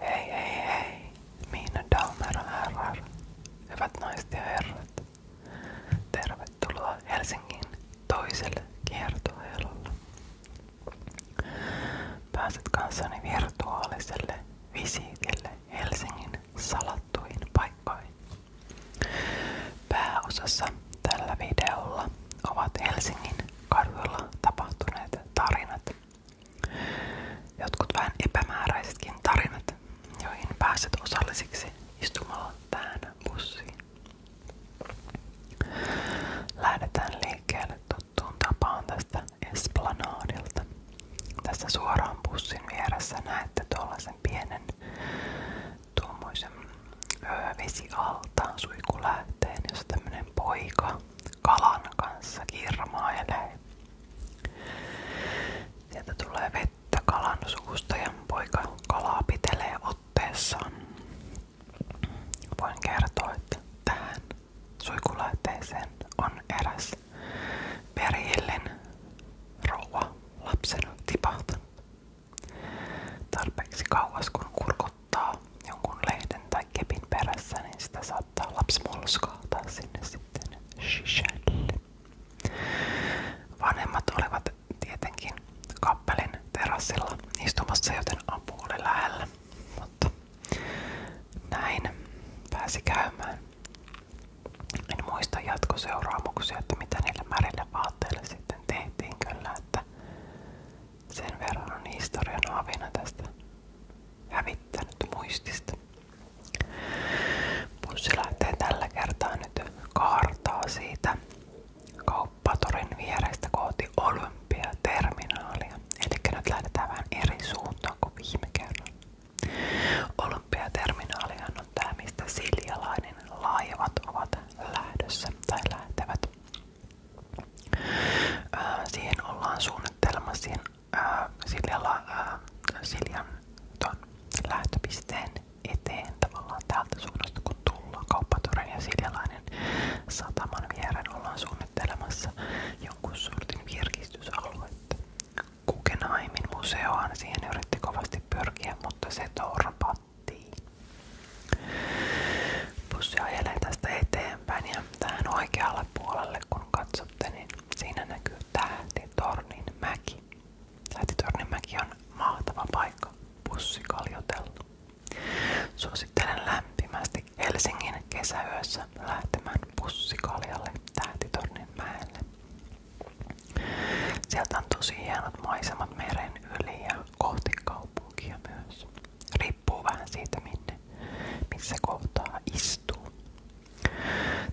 Hei hei hei, Miina Daumero herrar. Hyvät naiset ja herrat. Tervetuloa Helsingin toiselle kiertoelolle. Pääset kanssani virtuaaliselle visiitille Helsingin salattuihin paikkoihin. Pääosassa tällä videolla ovat Helsingin kaduilla tapahtuneet tarinat Jotkut vähän epämääräisetkin tarinat, joihin pääset osallisiksi istumalla tähän bussiin. Lähdetään liikkeelle tuttuun tapaan tästä Tässä suoraan bussin vieressä näette tuollaisen pienen tuommoisen vesialtaan suikulähteen, jossa tämmönen poika kalan kanssa kirmailee. Sieltä tulee vettä kalan suusta ja poika kalaa otteessaan. Voin kertoa, tähän suikulähteeseen on eräs perillinen rouva lapsena Tarpeeksi kauas kun kurkut odottaa jonkun lehden tai kepin perässä, niin sitä saattaa lapsi molskahtaa sinne sitten sisälle. Vanhemmat olivat tietenkin kappelin terassilla istumassa, joten apu oli lähellä. Mutta näin pääsi käymään. En muista jatkoseuraamuksia, että mitä niille märille vaatteille sitten tehtiin kyllä, että sen verran on historian avina tästä hävittänyt muistista. Pussi lähtee tällä kertaa nyt kaartaa siitä kauppatorin vierestä kohti olympiaterminaalia. Eli nyt lähdetään vähän eri suuntaan kuin viime kerralla. Olympiaterminaalihan on tämä, mistä siljalainen laivat ovat lähdössä tai lähtevät. Ää, äh, siihen ollaan suunnittelemassa ää, äh, Siljalla, ää, äh, lähtöpisteen eteen tavallaan täältä suunnasta ja Siljalainen sataman viereen ollaan suunnittelemassa jonkun sortin virkistysaluetta. Kukenaimin museohan siihen yritti kovasti pyrkiä, mutta se torpattiin. Bussi ajelee tästä eteenpäin eteenpäin ja tähän oikealle puolelle kun katsotte, niin siinä näkyy Tähtitornin mäki. tähti Tähtitornin mäki on mahtava paikka bussikaljotella. Suosittelen lämpimästi Helsingin kesäyössä lähtemään bussikaljalle Tähtitornin mäelle. Sieltä on tosi hienot maisemat meren yli ja kohti kaupunkia myös. Riippuu vähän siitä, minne missä kohtaa istuu.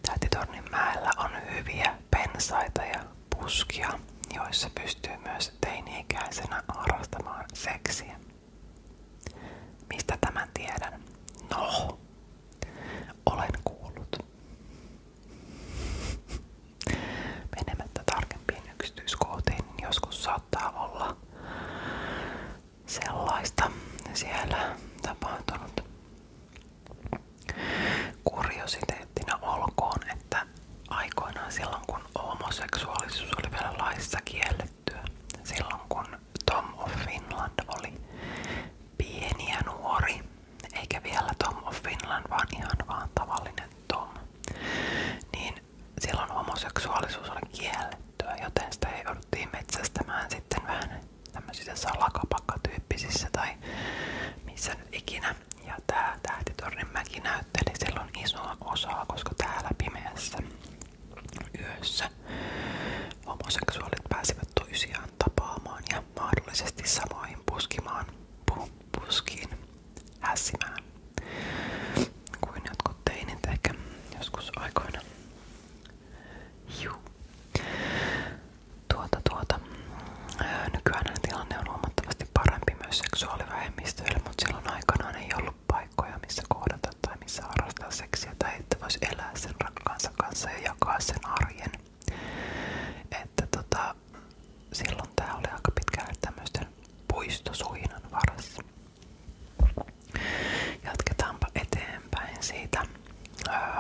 Tähtitornin mäellä on hyviä pensaita ja puskia, joissa pystyy myös teini-ikäisenä harrastamaan seksiä. Mistä tämän tiedän? No, olen kuullut. Menemättä tarkempiin yksityiskohtiin niin joskus saat saattaa olla sellaista siellä tapahtunut. Kuriositeettina olkoon, että aikoinaan silloin kun homoseksuaalisuus oli vielä laissa kiellettyä, silloin kun Tom of Finland oli pieni ja nuori, eikä vielä Tom of Finland, vaan ihan vaan tavallinen Tom, niin silloin homoseksuaalisuus oli kiellettyä, joten sitä jouduttiin metsästämään sitten vähän tämmöisissä salakapakkatyyppisissä tai missä nyt ikinä. Ja tää mäki näytteli silloin isoa osaa, koska täällä pimeässä yössä homoseksuaalit pääsivät toisiaan tapaamaan ja mahdollisesti samoihin puskimaan pu, hässimään kuin jotkut teinit joskus aikoina. Juu. Tuota, tuota. Nykyään tilanne on huomattavasti parempi myös seksuaalivähemmistöille, mutta silloin aikanaan ei missä kohdata missä harrastaa seksiä tai että voisi elää sen rakkaansa kanssa ja jakaa Että tota, silloin tämä oli aika pitkälle tämmöisten puistosuinan varassa. Jatketaanpa eteenpäin siitä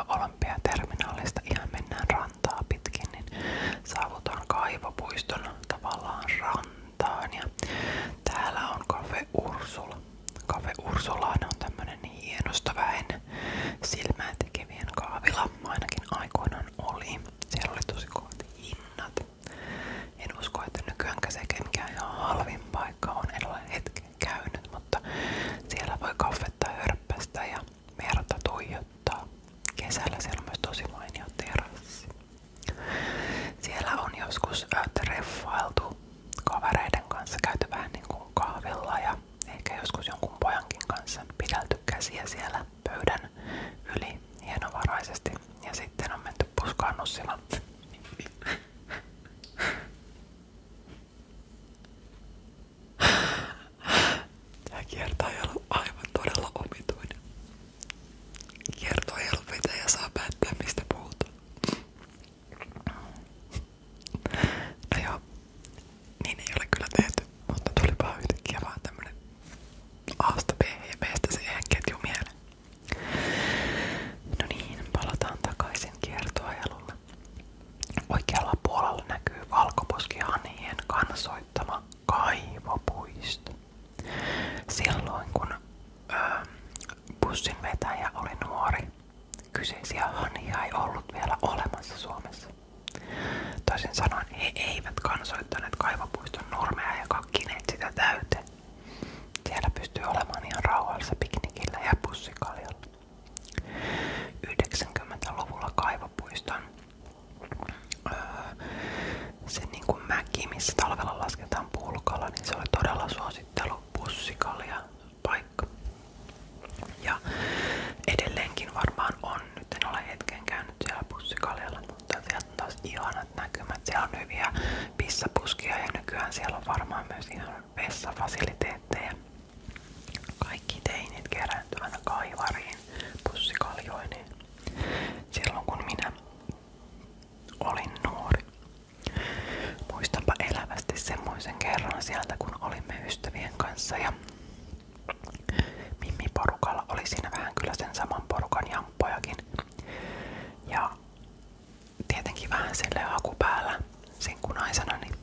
olympiaterminaalista. Ihan mennään rantaa pitkin, niin saavutaan kaivopuiston tavallaan rantaan. Ja täällä on Cafe Ursula. Cafe Ursulaan on tämmönen niin hienostaväen silmään tekevien kaavila. Ainakin aikoinaan oli. Siellä oli tosi kovat hinnat. En usko, että nykyäänkään sekin mikään ihan halvin on. En ole käynyt, mutta siellä voi kaffetta hörppästä ja merta tuijottaa. Kesällä siellä on myös tosi mainio terassi. Siellä on joskus treffailtu kavereiden kanssa, käyty niin kuin kahvilla ja ehkä joskus jonkun pojankin kanssa pidelty käsiä siellä pöydän yli hienovaraisesti ja sitten on menty puskaan nussilla. Tää kierto ei ollut aivan todella omituinen. Kierto ei ollut mitä ja saa päättää mistä puhutaan. No joo, niin ei ole kyllä tehty, mutta tulipa yhtäkkiä vaan tämmönen Asta B ja Bstä C ketjumiele. No niin, palataan takaisin kiertoajalulle. Oikealla puolella näkyy valkoposkihanhien kansoittama kaivopuisto. Silloin kun ähm, bussin vetäjä oli nuori, kyseisiä hanhia ei ollut vielä olemassa Suomessa. Toisin sanoen he eivät kansoittaneet kaivopuiston nurmea ja kakkineet sitä täyteen. Siellä pystyy olemaan ihan rauhallisella piknikillä ja pussikaljalla. 90-luvulla kaivopuiston öö, se niin kuin mäki, missä talvella lasketaan pulkalla, niin se oli todella suosittelu pussikalja paikka. Ja edelleenkin varmaan on, nyt en ole hetken käynyt siellä pussikaljalla, mutta siellä mielestä ihanat näkymät. Siellä on ja nykyään siellä varmaan myös ihan vessafasiliteetteja. Kaikki teinit kerääntyvänä kaivariin pussikaljoineen. Silloin kun minä olin nuori. Muistanpa elävästi semmoisen kerran sieltä, kun olimme ystävien kanssa ja Mimmi porukalla oli siinä vähän kyllä sen saman porukan ja samppojakin. Ja tietenkin vähän sille haku päällä sinkunaisena, niin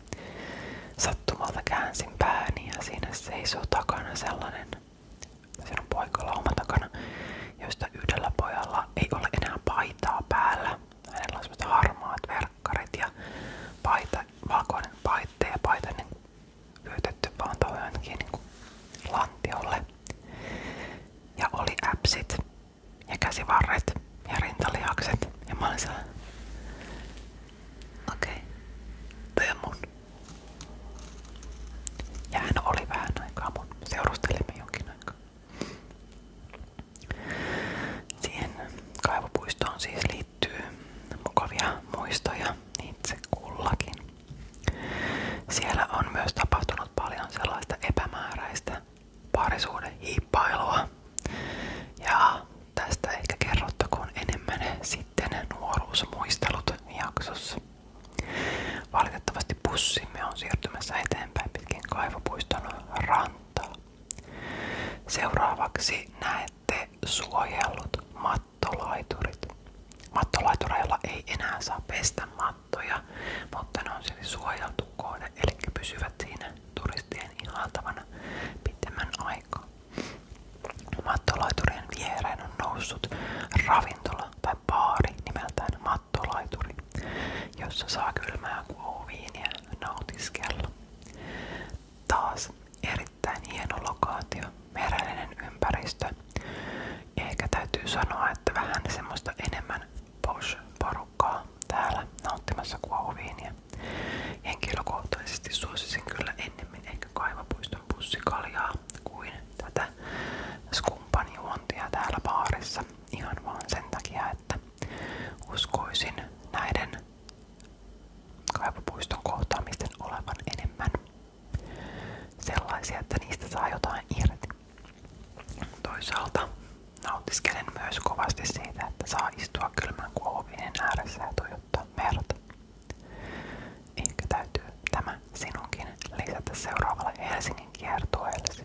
sattumalta käänsin pääni ja siinä seisoo takana sellainen sinun poikalauma takana, josta yhdellä pojalla ei ole enää paitaa päällä. Hänellä on semmoista harmaat verkkarit ja paita, valkoinen paitte ja paita niin pyytetty vaan toi niin lantiolle. Ja oli äpsit ja käsivarret ja rintalihakset ja mä okei, okay. on Ja hän oli vähän aikaa mun, seurustelimme jonkin aikaa. Siihen kaivopuistoon siis liittyy mukavia muistoja itse kullakin. Siellä on myös tapahtunut paljon sellaista epämääräistä parisuuden hiippailua. Ja tästä ehkä kerrottakoon enemmän sitten nuoruusmuistelut jaksossa. Valitettavasti pussimme on siirtymässä eteenpäin pitkin kaivopuiston rantaa. Seuraavaksi näette suojellut mattolaiturit. Mattolaitureilla ei enää saa pestä mattoja, mutta ne on silti suojeltu kohde, eli pysyvät siinä turistien ihaltavana pitemmän aikaa. Mattolaiturien viereen on noussut ravintola tai baari nimeltään mattolaituri, jossa saa kylmää kuohuviiniä nautiskella. Taas eri erittäin hieno lokaatio, merellinen ympäristö. Ja ehkä täytyy sanoa, että vähän semmoista enemmän posh-porukkaa täällä nauttimassa kuohuviiniä. Henkilökohtaisesti suosisin kyllä ennemmin ehkä kaivapuiston pussikaljaa kuin tätä skumpanijuontia täällä baarissa. Ihan vaan sen takia, että uskoisin näiden kaivapuiston kohtaamisten olevan enemmän sellaisia, että niistä saa jotain irti. Toisaalta nautiskelen myös kovasti siitä, että saa istua kylmän kuohuvien ääressä ja tuijottaa merta. Ehkä täytyy tämä sinunkin lisätä seuraavalle Helsingin kiertueellesi.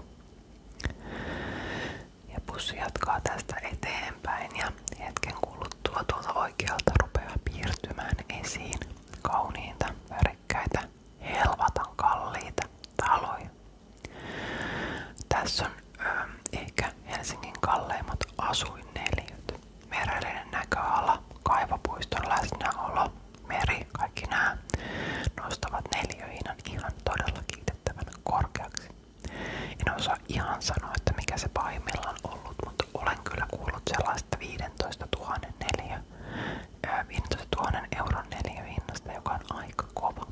Ja pussi jatkaa tästä eteenpäin ja hetken kuluttua kuluttua tuolta oikealta rupeaa piirtymään esiin kauniita, värikkäitä, helvatan kalliita taloja. Tässä on ö, ähm, ehkä Helsingin kalleimmat asuinneliöt. Merellinen näköala, kaivopuiston läsnäolo, meri, kaikki nämä nostavat neliöinan ihan todella kiitettävän korkeaksi. En osaa ihan sanoa, että mikä se pahimmillaan ollut, mutta olen kyllä kuullut sellaista 15 000, neliö, 15 000 euron neliöhinnasta, joka on aika kova.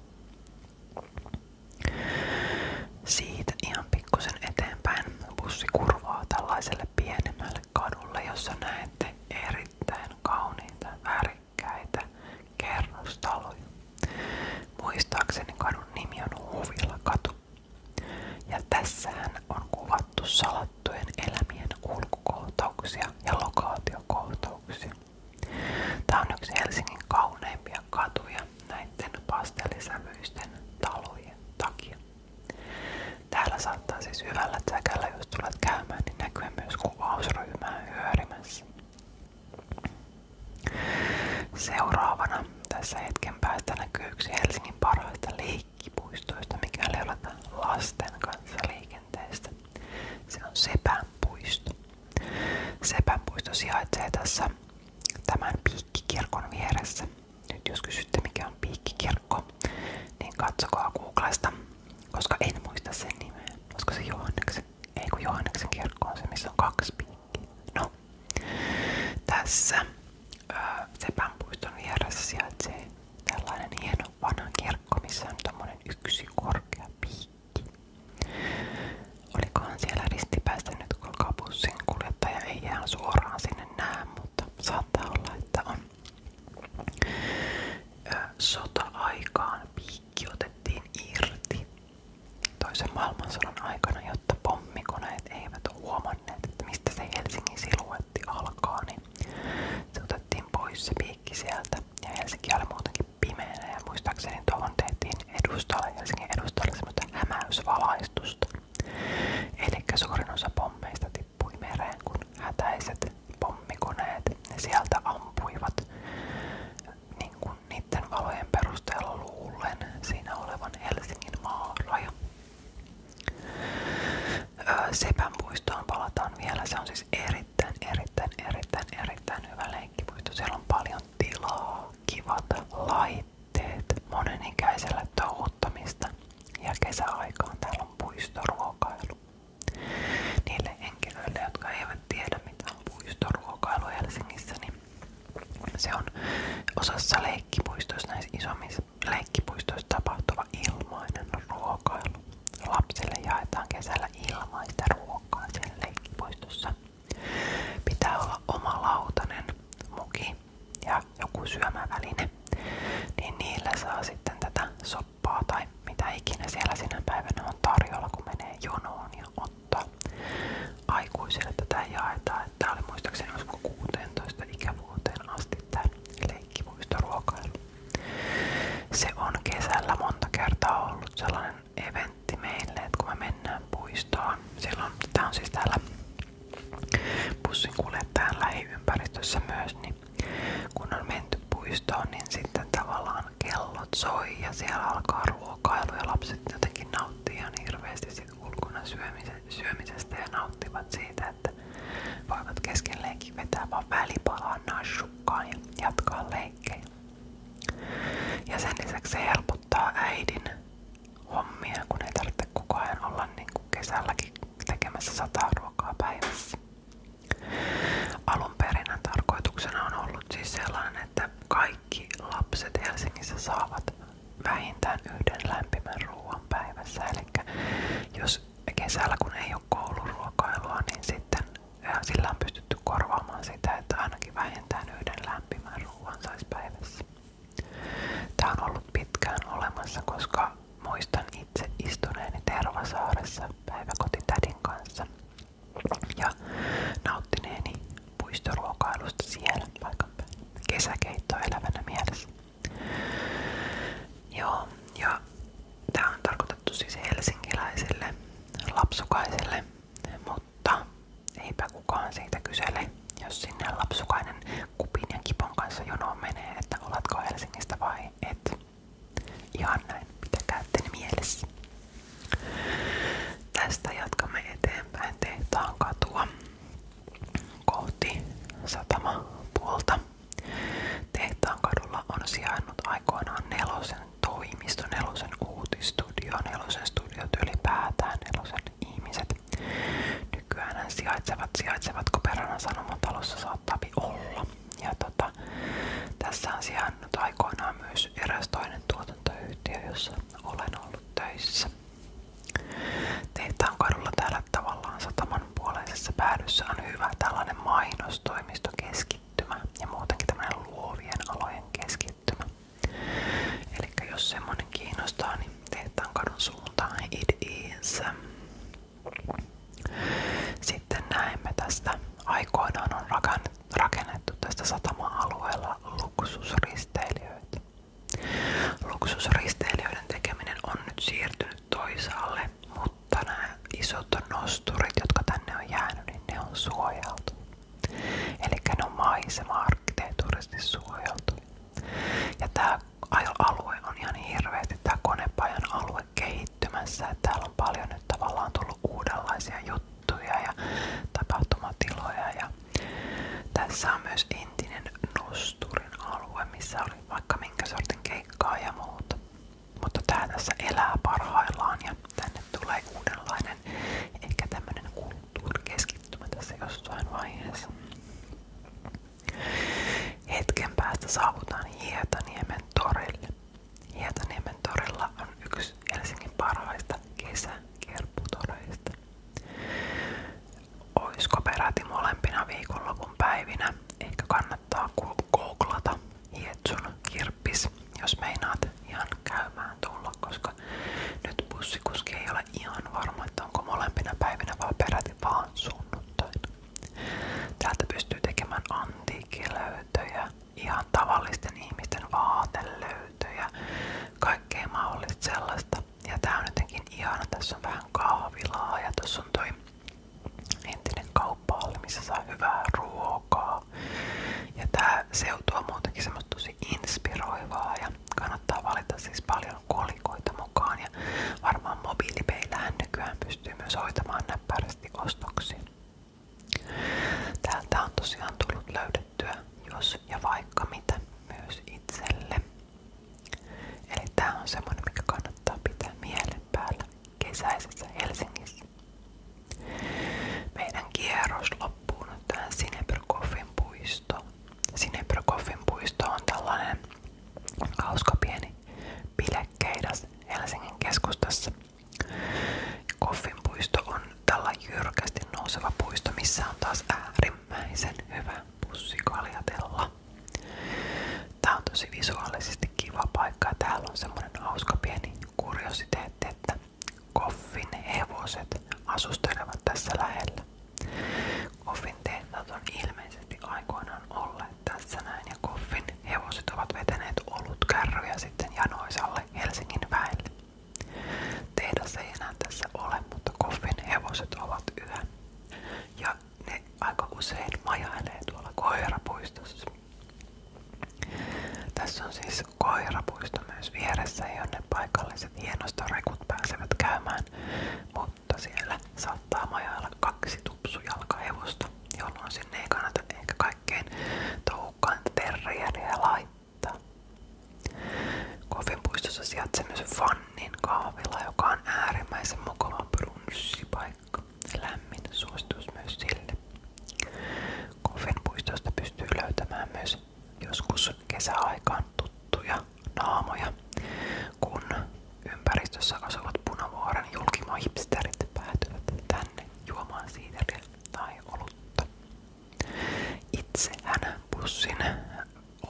Siitä ihan pikkusen eteenpäin bussi kurvaa tällaiselle pienemmälle kadulle, jossa näette erittäin kauniita värikkäitä kerrostaloja. Muistaakseni kadun nimi on Huvilla katu, ja tässähän on kuvattu salattujen elämien kulkukohtauksia ja lokaatiokohtauksia. Tämä on yksi Helsingin kauneimpia katuja näiden pastellisävyisten talojen takia. Täällä saattaa siis hyvällä säkällä, jos tulet niin myös kuvausryhmää hyörimässä. Seuraavana tässä hetken päästä näkyy yksi Helsingin puhuttiin parhaista leikkipuistoista, mikäli olet lasten kanssa liikenteestä. Se on Sepän puisto. Sepän puisto sijaitsee tässä tämän piikkikirkon vieressä. Nyt jos kysytte mikä on piikkikirkko, niin katsokaa Googlesta, koska en muista sen nimeä. Olisiko se Johanneksen? Ei kun Johanneksen kirkko on se, missä on kaksi piikkiä. No, tässä Sepänpuiston vieressä sijaitsee tällainen hieno vanha kirkko, on yksi korkea piikki. Olikohan siellä ristipäästä nyt, kun kuljettaja ei ihan suoraan sinne mutta saattaa olla, että piikki otettiin irti toisen maailmansodan aikana, jotta pommikone monet eivät huomanneet, että mistä se Helsingin siluetti alkaa, niin se otettiin pois se piikki sieltä. Ja Helsinki oli muutenkin pimeänä ja muistaakseni tuohon tehtiin edustalle, Helsingin edustalle semmoista hämäysvalaistusta. Eli suurin osa pommeista tippui mereen, kun hätäiset pommikoneet ne sieltä ampuivat niin kuin niiden valojen perusteella luullen siinä olevan Helsingin maaraja. Sepän muistoon palataan vielä. Se on siis erittäin, erittäin, erittäin, erittäin hyvä leikkipuisto. Siellä on paljon tilaa, kivat laitteet, monenikäisellä touhuttamista ja kesäaikaan täällä on puistoruokailu. Niille henkilöille, jotka eivät tiedä mitä on puistoruokailu Helsingissä, niin se on osassa leikkipuistoissa, näissä isommissa leikkipuistoissa tapahtuva ilmainen ruokailu. Lapsille jaetaan kesällä ilmaista ruokaa siellä leikkipuistossa. Pitää olla oma lautanen, muki ja joku syömäväline. Niin niillä saa sitten tätä soppaa tai mitä ikinä siellä sinä päivänä on tarjolla, kun menee jonoon ja ottaa aikuisille tätä jaetaan. Että tämä oli muistaakseni 16 ikävuoteen asti tämä leikkipuistoruokailu. Se on kesällä monta kertaa ollut sellainen eventti meille, että kun me mennään puistoon, silloin tämä siis täällä bussin kuljettajan lähiympäristössä myös, niin kun on menty puistoon, niin sitten tavallaan kellot soi ja siellä alkaa ruokailu ja lapset jotenkin nauttii ihan hirveästi vierasit ulkona syömisestä ja nauttivat siitä, että voivat kesken leikin vetää vaan välipalaan nashukkaan ja jatkaa leikkejä. Ja sen lisäksi se helpottaa äidin hommia, kun ei tarvitse koko ajan olla niin kuin kesälläkin tekemässä sataa ruokaa päivässä. Alun perin tarkoituksena on ollut siis sellainen, että kaikki lapset Helsingissä saavat vähintään yhden lämpimän ruoan päivässä. Eli jos kesällä kun ei ole kouluruokailua, niin sitten sillä on pystytty korvaamaan sitä, että ainakin vähintään yhden lämpimän ruoan saisi päivässä. Tämä on ollut pitkään olemassa, koska muistan itse istuneeni Tervasaaressa päiväkotitädin kanssa ja nauttineeni muistoruokailusta siellä vaikka päällä. Kesäkeitto elävänä mielessä. Joo, ja tämä on tarkoitettu siis helsinkiläisille lapsukaisille, mutta eipä kukaan siitä kysele, jos sinne lapsukainen kupin ja kipon kanssa jonoon menee, että oletko Helsingistä vai et. Ihan näin, pitäkää mielessä. Tästä jatkamme eteenpäin tehtaan katua kohti satamapuolta. Tehtaan kadulla on sijainnut aikoinaan nelosen toimisto, nelosen uutistudio, nelosen studiot ylipäätään, nelosen ihmiset. Nykyään hän sijaitsevat, sijaitsevatko Peranan sanomatalossa saattaa olla. Ja tota, tässä on sijainnut aikoinaan myös eräs toinen tuotantoyhtiö, jossa olen ollut töissä. Tehtaan kadulla täällä tavallaan sataman puoleisessa päädyssä on hyvä tällainen mainostoimistokeskittymä ja muutenkin tämmöinen luovien alojen keskittymä. Eli jos semmonen kiinnostaa, niin tehtaan kadun suuntaan it Sitten näemme tästä. Aikoinaan on rakennettu tästä satama-alueella luksusrisortti risteilijöitä. Luksusristeilijöiden tekeminen on nyt siirtynyt toisaalle, mutta nämä isot nosturit, jotka tänne on jäänyt, niin ne on suojeltu. Eli ne on maisema suojeltu. Ja tämä alue on ihan tämä konepajan alue kehittymässä. täällä on paljon nyt tavallaan tullut uudenlaisia juttuja juttuja ja tapahtumatiloja. Ja tässä on myös Nosturin alue, missä oli vaikka minkä sortin keikkaa Mutta tässä elää parhaillaan ja tänne tulee uudenlainen ehkä tämmönen kulttuurikeskittymä tässä jossain vaiheessa. Hetken päästä saavutaan Hietaniemen on yksi Helsingin parhaista kesä- kerputoreista. Oisko peräti molempina viikonlopun päivinä? Ehkä kannattaa googlata Hietsun kirppis, jos meinaat ihan käymään tulla, koska nyt bussikuski ihan varma, että onko molempina päivinä vaan peräti vaan sunnuntaina. pystyy tekemään antiikkilöytöjä, ihan tavallisten ihmisten vaatelöytöjä löytyy ja kaikkea mahdollista sellaista. Ja tää on jotenkin ihana, tässä on vähän kahvilaa ja tuossa on toi entinen kauppa oli, missä saa hyvää ruokaa. Ja tää seutu on muutenkin semmoista tosi inspiroivaa ja kannattaa valita siis paljon kolikoita mukaan. Ja varmaan mobiilipeillähän nykyään pystyy myös hoitamaan näppärästi ostoksia. Täältä on tosiaan tullut löydettyä jos ja vaikka mitä myös itselle. Eli tää on semmonen, mikä kannattaa pitää mielen päällä kesäisessä Helsingissä. Meidän kierros loppuu nyt tähän Sinebergoffin puistoon. Sinebergoffin puisto on tällainen hauska pieni pilekeidas Helsingin keskustassa, Koffinpuisto on tällä jyrkästi nouseva puisto, missä on taas äärimmäisen hyvä pussikaljatella. Tää on kiva paikka täällä on semmonen hauska pieni että koffin hevoset tässä lähellä. Koffin tehtaat on ilmeisesti aikoinaan olleet tässä näin ja koffin hevoset ovat vetäneet olutkärryjä sitten janoisalle Helsingin väelle. Tehdas ei enää tässä ole, mutta koffin hevoset ovat yhä. Ja ne aika usein majailee tuolla koirapuistossa. Tässä on siis koirapuisto myös vieressä, jonne paikalliset hienostorekut pääsevät käymään, mutta siellä saattaa majailla kaksi tupsujalkahevosta, jolloin sinne ei kannata ehkä kaikkein toukkaan terrieriä laittaa Kofin puistossa sijaitsee myös Vannin kahvila, joka on äärimmäisen mukava brunssipaikka. Lämmin suositus myös sille. Kofin puistosta pystyy löytämään myös joskus kesäaikaan tuttuja naamoja, kun ympäristössä asuvat punavuoren julkimohipsterit päätyvät tänne juomaan siideriä tai olutta. Itse hän bussin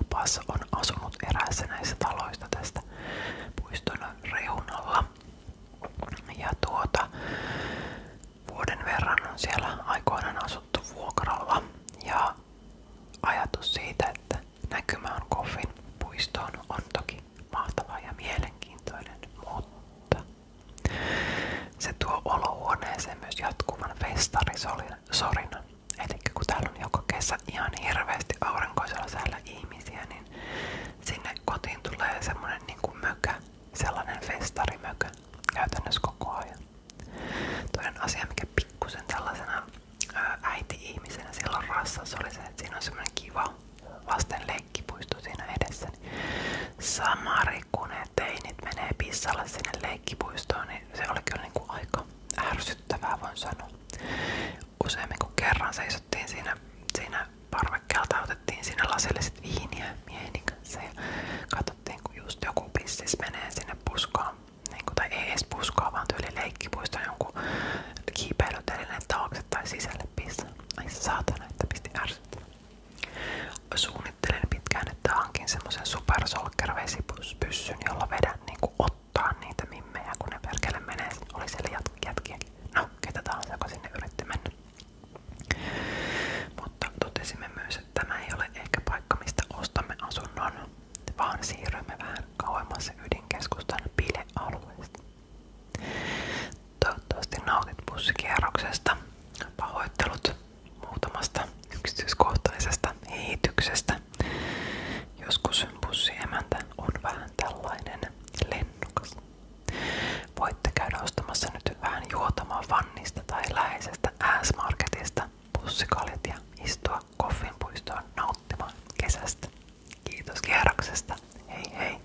opas on asunut eräässä näistä taloista tästä puiston reunalla. Ja tuota, vuoden verran on siellä aikoinaan asuttu vuokralla. Ja ajatus siitä, että näkymä on Koffin puistoon on toki mahtava ja mielenkiintoinen, mutta se tuo olohuoneeseen myös jatkuvan festarisorinan. Eli kun täällä joka kesä ihan hirveästi aurinkoisella säällä ihmisiä, niin sinne kotiin tulee semmonen niinku mökä, sellainen festarimökä käytännössä koko ajan. Toinen asia, mikä pikkusen tällaisena äiti-ihmisenä silloin rassassa oli että siinä on semmoinen kiva lasten leikkipuisto siinä edessä. Niin samari kun ne teinit menee pissalle sinne leikkipuistoon, niin se oli kyllä niin kuin aika ärsyttävää, voin sanoa. Useammin kuin kerran seisottiin siinä, siinä parvekkeelta, otettiin siinä lasilliset viiniä mieheni kanssa ja katsottiin, kun just joku pissis menee sinne puskaan. Niin kuin, tai ei edes puskaa, vaan tyyli leikkipuisto jonkun kiipeilytelineen taakse tai sisälle pissa. Ai saatana, että pisti ärsyttävää. Suunnittelen pitkään, että hankin semmoisen supersolkervesipyssyn, jolla vedän niinku ottaa niitä mimmejä, kun ne perkele menee. Oli siellä jat- jätkiäkin. No, ketä tahansa, joka sinne yritti mennä. Mutta totesimme myös, että tämä ei ole ehkä paikka, mistä ostamme asunnon, vaan siirrymme vähän kauemmas ydinkeskustan bilealueesta. Toivottavasti nautit bussikierroksesta. Pahoittelut muutamasta yksityiskohtaisesta heityksestä. Joskus bussiemäntä on vähän tällainen lennukas. Voitte käydä ostamassa nyt vähän juotamaan vannista tai läheisestä S-marketista bussikalit ja istua koffinpuistoon nauttimaan kesästä. Kiitos kierroksesta. Hei hei!